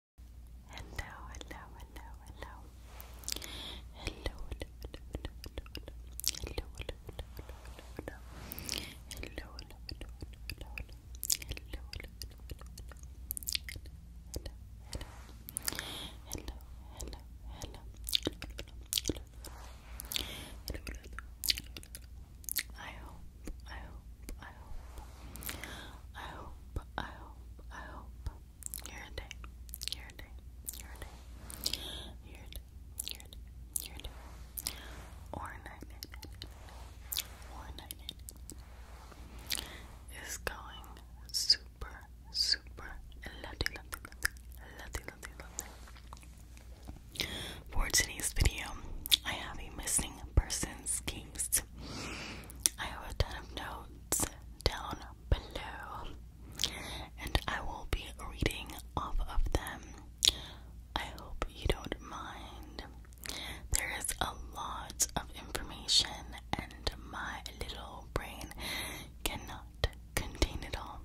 Hello, hello, hello, hello. Hello, hello, hello, hello, hello. Hello, hello, hello, hello, hello. Hello, hello, hello, hello, hello. Hello, hello, hello, hello, hello. Hello, hello, hello, hello. Hello, hello, hello, hello, hello. I hope, I hope, I I hope, I hope, I hope, your day, your day, your day, your day, your day, your day, or night, or night, is going super, super lovely, lovely, lovely, lovely, lovely. For today's video, I have a missing persons games. I have a ton of notes down below, and I will be reading off of them. I hope you don't mind. There is a lot of information, and my little brain cannot contain it all.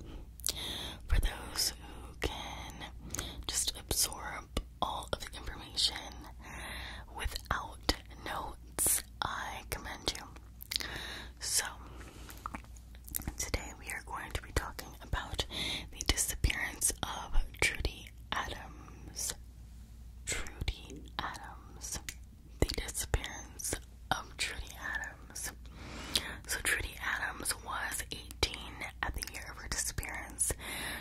For those who can just absorb all of the information without notes, I commend you. So, today we are going to be talking about the disappearance of Trudy Adams. Trudy Adams. The disappearance of Trudy Adams. So, Trudy Adams was 18 at the year of her disappearance.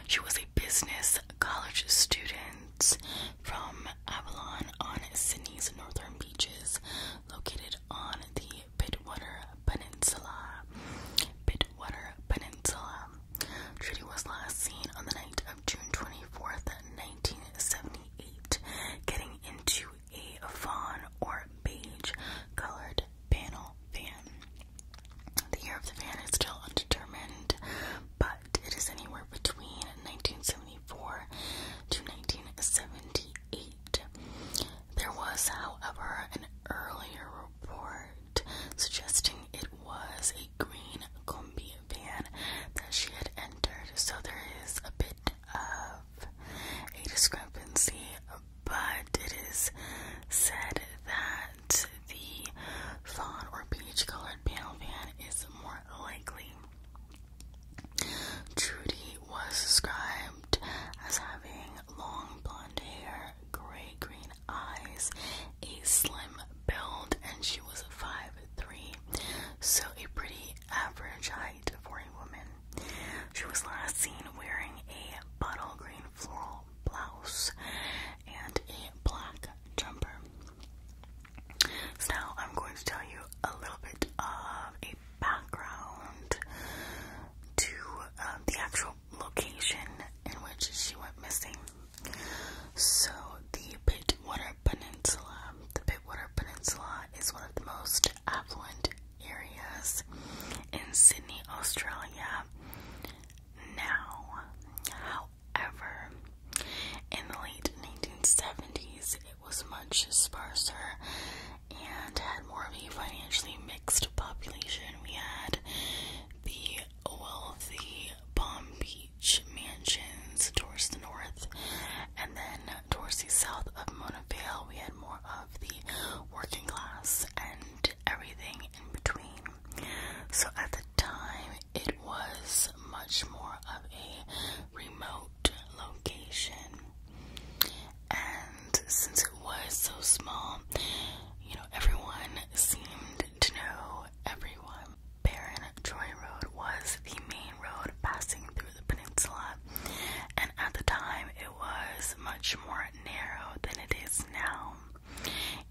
She was a business college students from Avalon on Sydney's northern beaches, located on the Pittwater Peninsula. Pittwater Peninsula. Trudy was last seen on the night of June 24th, 1978, getting into a fawn or beige colored panel van. The year of the van is still undetermined, but it is anywhere between 1974 to 1978. There was, however, an earlier report suggesting it was a green combi van that she had entered, so there is a bit of a discrepancy, but it is said that the fawn or peach colored panel van is more likely. Trudy was described as having long blonde hair, gray green eyes, a slim build, and she was 5'3, so a pretty average height for a woman. She was last seen wearing a bottle green floral blouse and a black jumper. So now I'm going to tell you a little bit of a background to um, the actual location in which she went missing. So the Pittwater Peninsula, the Pittwater Peninsula is one of the most affluent areas in Sydney, Australia now. However, in the late 1970s, it was much sparser and had more of a financially mixed population. We had the wealthy Palm Beach mansions towards the north, and then towards the south of Mona we had more of the working class, and everything in between. So at the time, it was much more of a remote location, and since it was so small, you know, everyone seemed to know everyone. Baron Troy Road was the main road passing through the peninsula, and at the time, it was much more narrow than it is now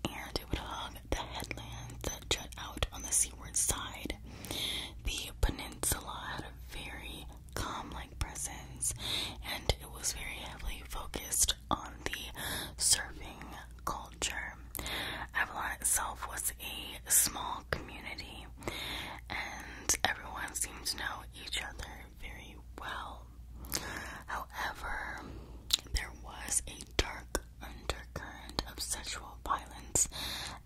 and it would hug the headlands that jut out on the seaward side. The peninsula had a very calm like presence, and it was very heavily focused on the surfing culture. Avalon itself was a small community, and everyone seemed to know each other very well. However, there was a dark undercurrent of sexual violence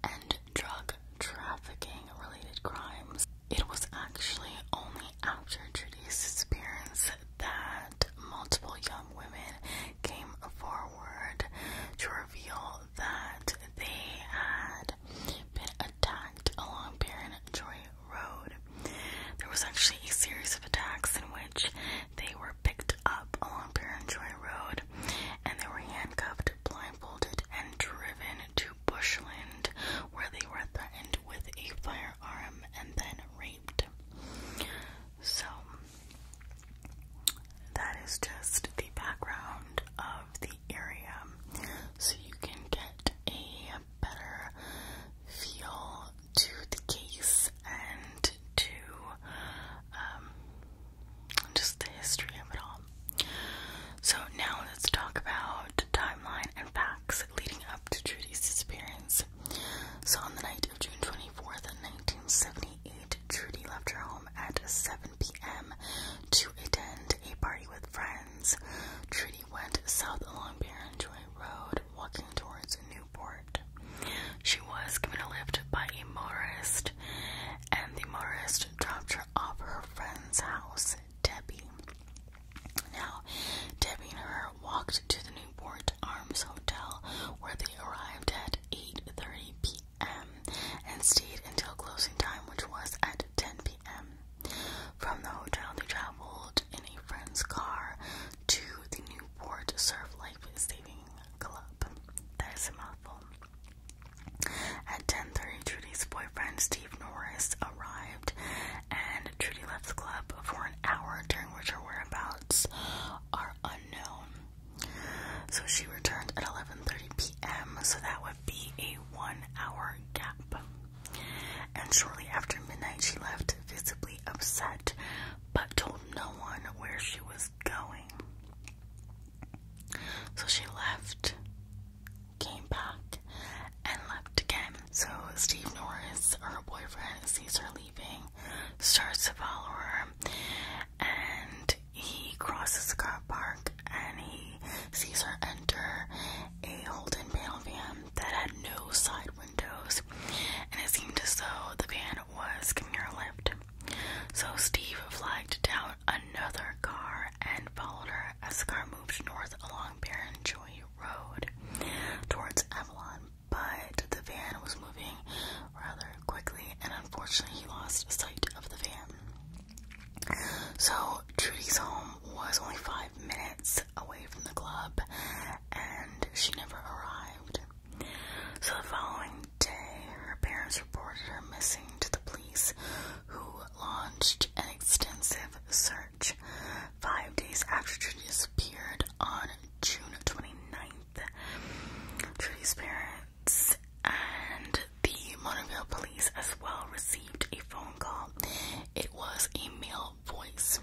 and drug trafficking related crimes. It was actually only after Judy's disappearance that multiple young women came forward to reveal that they had been along Baron Road. There was actually a series of attacks in which they were picked up along Baron Joy Road and they were handcuffed, blindfolded, and driven to bushland where they were threatened with a firearm and then raped. So, that is just the background of the area. So, you can get a better feel to the case and to um, just the history of it all. So now let's talk about timeline and facts leading up to Judy's disappearance. So on the night of June 24th, 1978, Judy left her home at 7 p.m. to attend a party with friends he went south along Barrenjoy Road, walking towards Newport. She was given a lift by a Morris, and the Morris dropped her off at her friend's house, Debbie. Now, Debbie and her walked to the Newport Arms Hotel, where they arrived at 8:30 p.m. and stayed until closing time, which was at 10 p.m. From the hotel, they traveled in a friend's car to the Newport Surf Life Saving Club. That is a mouthful. At 10:30, Trudy's boyfriend Steve Norris arrived, and Trudy left the club for an hour, during which her whereabouts are unknown. So she returned at 11:30 p.m. So that be a one hour gap. And shortly after midnight, she left visibly upset but told no one where she was going. So she left, came back, and left again. So Steve Norris, her boyfriend, sees her leaving, starts to follow her, and he crosses the car park and he sees her enter a Holden panel van that had no side windows, and it seemed as though the van was giving her lift. So Steve flagged down another car and followed her as the car moved north along Baron Joy Road towards Avalon, but the van was moving rather quickly, and unfortunately, he lost sight of the van. So Trudy's home was only five minutes away from the club and she never arrived. So the following day, her parents reported her missing to the police, who launched an extensive search. Five days after Trudy disappeared on June 29th, Trudy's parents and the Monterville police as well received a phone call. It was a male voice,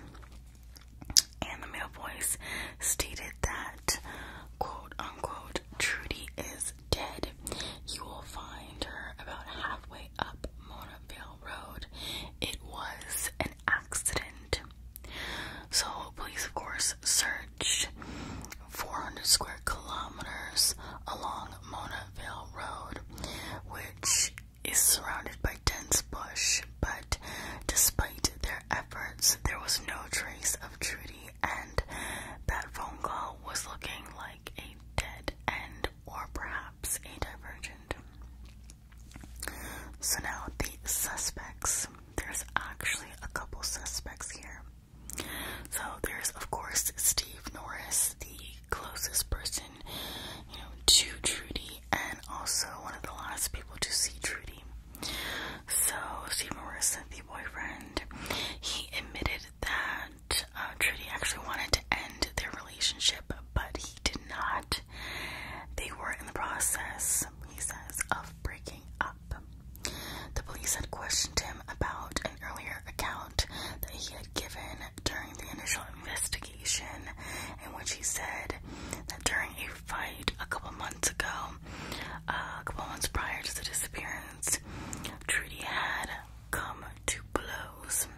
and the male voice stated that, quote unquote, Trudy is dead. You will find her about halfway up Monterville Road. It was an accident. So, police, of course, searched 400 square kilometers along Mona Bonneville Road, which is surrounded by dense bush, but despite their efforts, there was no trace of Trudy, and that phone call was looking like a dead end or perhaps a divergent. So now the suspects. There's actually a couple suspects here. So there's of course Steve Norris, the closest person, you know, to Trudy and also one of the last people to see Trudy. So Steve Norris, the boyfriend, he admitted that uh, Trudy actually wanted to end their relationship, but he did not. They were in the process, he says, of breaking up. The police had questioned him about an earlier account that he had given during the initial investigation, in which he said that during a fight a couple months ago, uh, a couple months prior to the disappearance, Trudy had come to blows.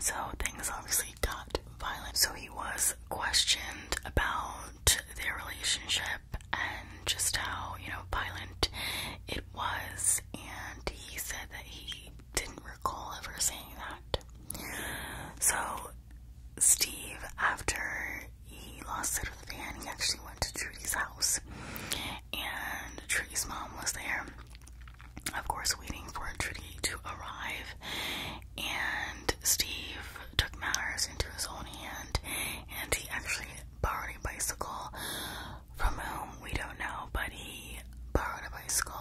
So things obviously got violent. So he was questioned about their relationship and just how, you know, violent it was, and he said that he didn't recall ever saying that. So, Steve, after he lost sight of the van, he actually went to Trudy's house, and Trudy's mom was there, of course, waiting for Trudy to arrive. And Steve took matters into his own hand, and he actually borrowed a bicycle from whom we don't know, but he borrowed a bicycle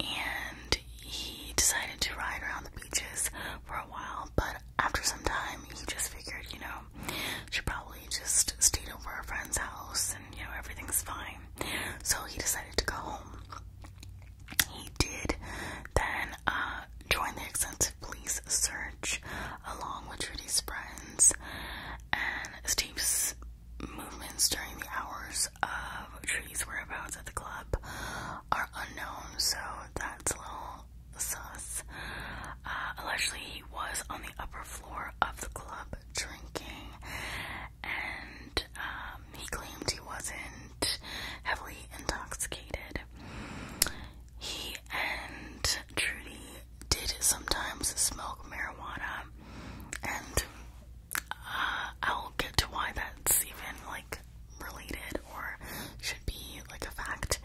and he decided to ride around the beaches for a while. But after some time, he just figured, you know, should probably just stayed over a friend's house and you know everything's fine. So he decided to go home. He did then uh, join the extensive police search along with Trudy's friends and Steve's movements during the hours of Trudy's whereabouts at the club are unknown, so that's a little sus. Uh, allegedly, he was on the upper floor of the club drinking, and um, he claimed he wasn't heavily intoxicated. He and Trudy did sometimes smoke marijuana, and uh, I'll get to why that's even like related or should be like a fact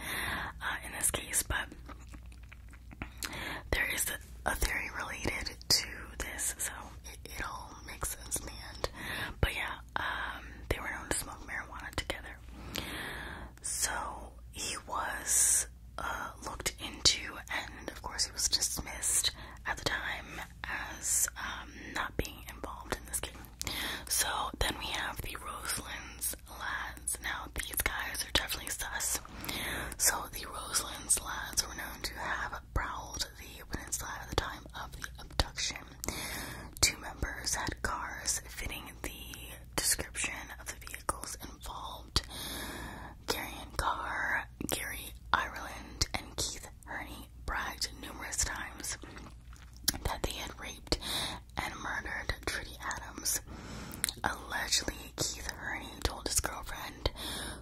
uh, in this case, but there is a, theory related to this, so it, all makes sense in the end. But yeah, um, they were known to smoke marijuana together. So he was uh, looked into, and of course, he was dismissed at the time as um, not being involved in this case. So then we have the Roselands lads. Now, these guys are definitely sus. So the Roselands lads were known to have prowled the peninsula at the time of the abduction. Two members had cars fitting the description of the vehicles involved. Gary Carr, Gary Ireland, and Keith Herney bragged numerous times that they had raped and murdered Trudy Adams. Allegedly, Keith Herney told his girlfriend,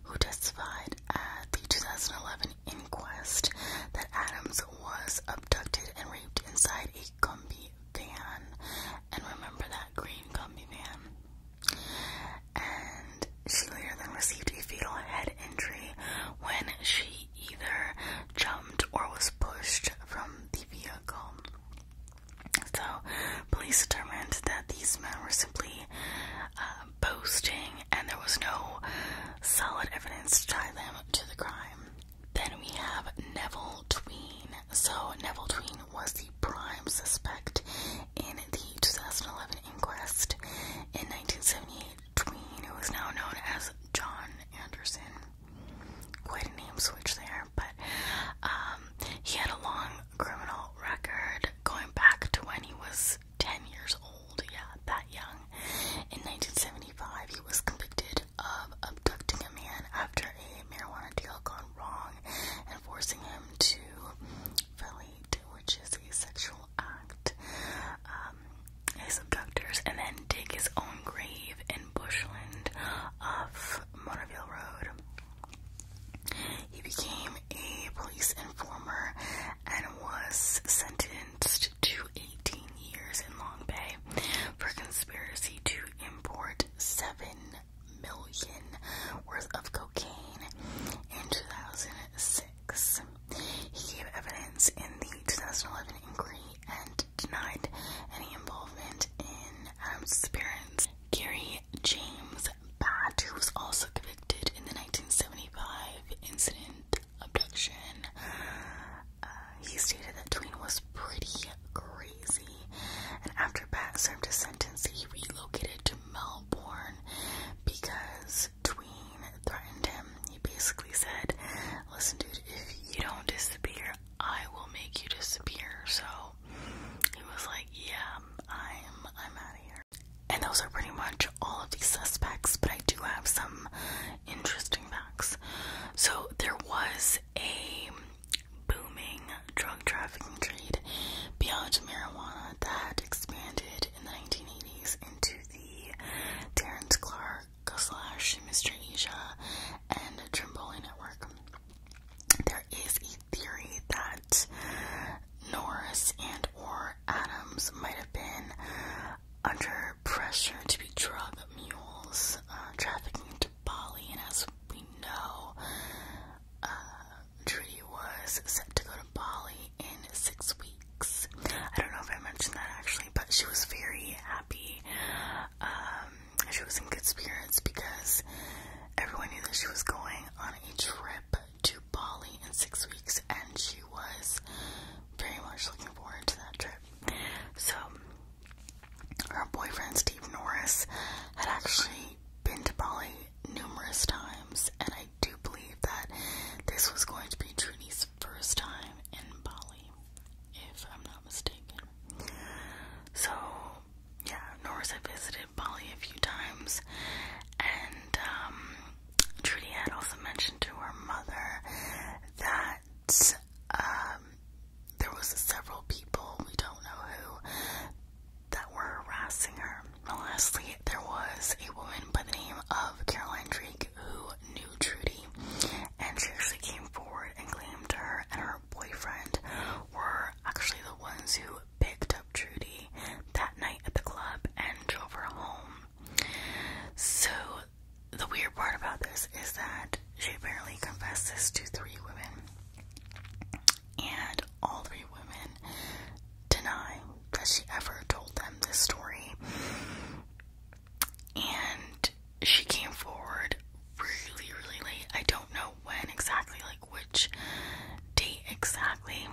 who testified at the 2011 inquest, that Adams was abducted and raped inside a gumbie van and remember that green gummy van. And she later then received a fatal head injury when she either jumped or was pushed from the vehicle. So, police determined that these men were simply uh, boasting and there was no solid evidence to tie them to the crime. Then we have Neville Tween. So, Neville Tween was the prime suspect in the 2011 inquest. In 1978, Tween, was now known as John Anderson, quite a name switch there, but um, he had a long criminal record going back to when he was 10 years old, yeah, that young. In 1975, he was convicted of abducting a man after a marijuana deal gone wrong and forcing him to violate, which is a sexual act, um, his abductors, and then dig his own grave in bushland off Motorville Road. He became a police informer and was sentenced to a 18 years in Long Bay for conspiracy to import 7 million worth of cocaine in 2006. He gave evidence in the 2011 inquiry and denied any involvement in Adams' disappearance. Gary James Batt, who was also convicted in the 1975 incident abduction. Uh, he stated that Tween was pretty crazy, and after Pat served his sentence, he relocated to Melbourne because Tween threatened him. He basically said, Listen, dude, if you don't disappear, I will make you disappear. So he was like, Yeah, I'm I'm out of here. And those are pretty much all of these suspects, but I do have some interesting facts. So there was a booming drug trafficking trade beyond marijuana that expanded in the 1980s into the Terrence Clark slash Mr. Asia and Trimboli network. There is a theory that Norris and or Adams might have been under pressure to be drug mules uh, trafficking to Bali, and as we know, uh, Trudy was set to go to Bali in six weeks. I don't know if I mentioned that actually, but she was very happy. Um, she was in good spirits because everyone knew that she was going on a trip to Bali in six weeks, and she was very much looking forward to that trip. So, our boyfriend Steve Norris had actually been to Bali numerous times, and I do believe that this was going to be Trudy's first time in Bali, if I'm not mistaken. So, yeah, Norris had visited Bali a few times, and um, Trudy had also mentioned to her mother that um, there was several people, we don't know who, that were harassing her. lastly, there was a woman by the name of Caroline Drake who knew Trudy, and she actually came forward and claimed her and her boyfriend were actually the ones who picked up Trudy that night at the club and drove her home. So, the weird part about this is that she apparently confessed this to three women, and all three women deny that she ever told them this story. And she came forward really, really late. I don't know when exactly, like which date exactly.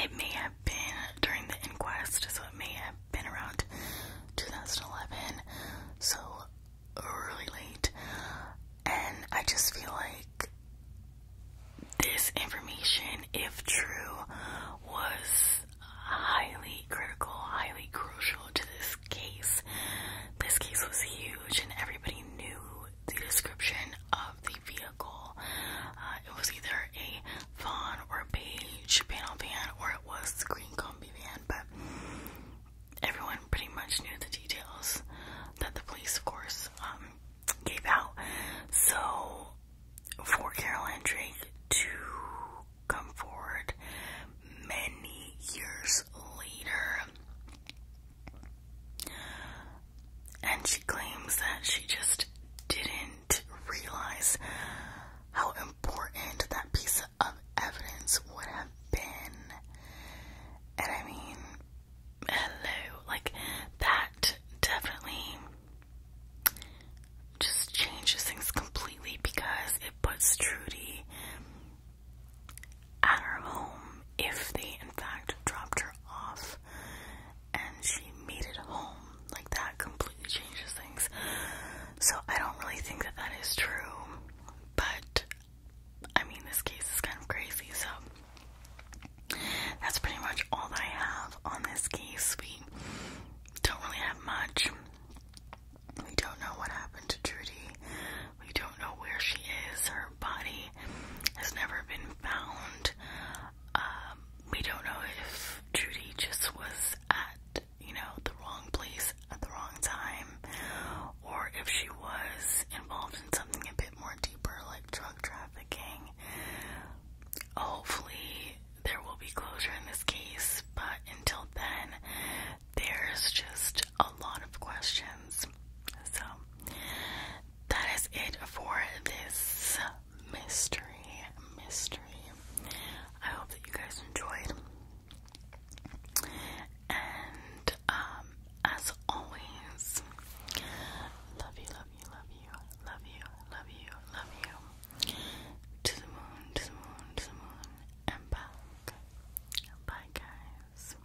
It may have been during the inquest, so it may have been around 2011, so really late. And I just feel like this information, if true, was highly critical, highly crucial to this case. This case was huge, and everybody knew the description of the vehicle. Uh, it was either a van or a beige panel van, or it was green combi van, but everyone pretty much knew the details that the police, of course, um, gave out. So, for Caroline Drake to come forward many years later, and she claims that she just didn't did realize how important that piece of evidence would have been. And I mean, hello, like that definitely just changes things completely because it puts Trudy at her home if they in fact dropped her off and she made it home. Like that completely changes things. So I don't really think that that is true, but I mean, this case is kind of crazy, so that's pretty much all that I have on this case. We don't really have much. We don't know what happened to Trudy. We don't know where she is. Her body has never been found. Um, we don't know if Judy just was at, you know, the wrong place at the wrong time, or if she was involved in something a bit more deeper like drug trafficking. Hopefully, there will be closure in this case, but until then, there's just a lot of questions. So, that is it for this mystery mystery. I hope that you guys enjoyed. And um, as always love you, love you, love you, love you, love you, love you. To the moon, to the moon, to the moon, and back. Bye guys.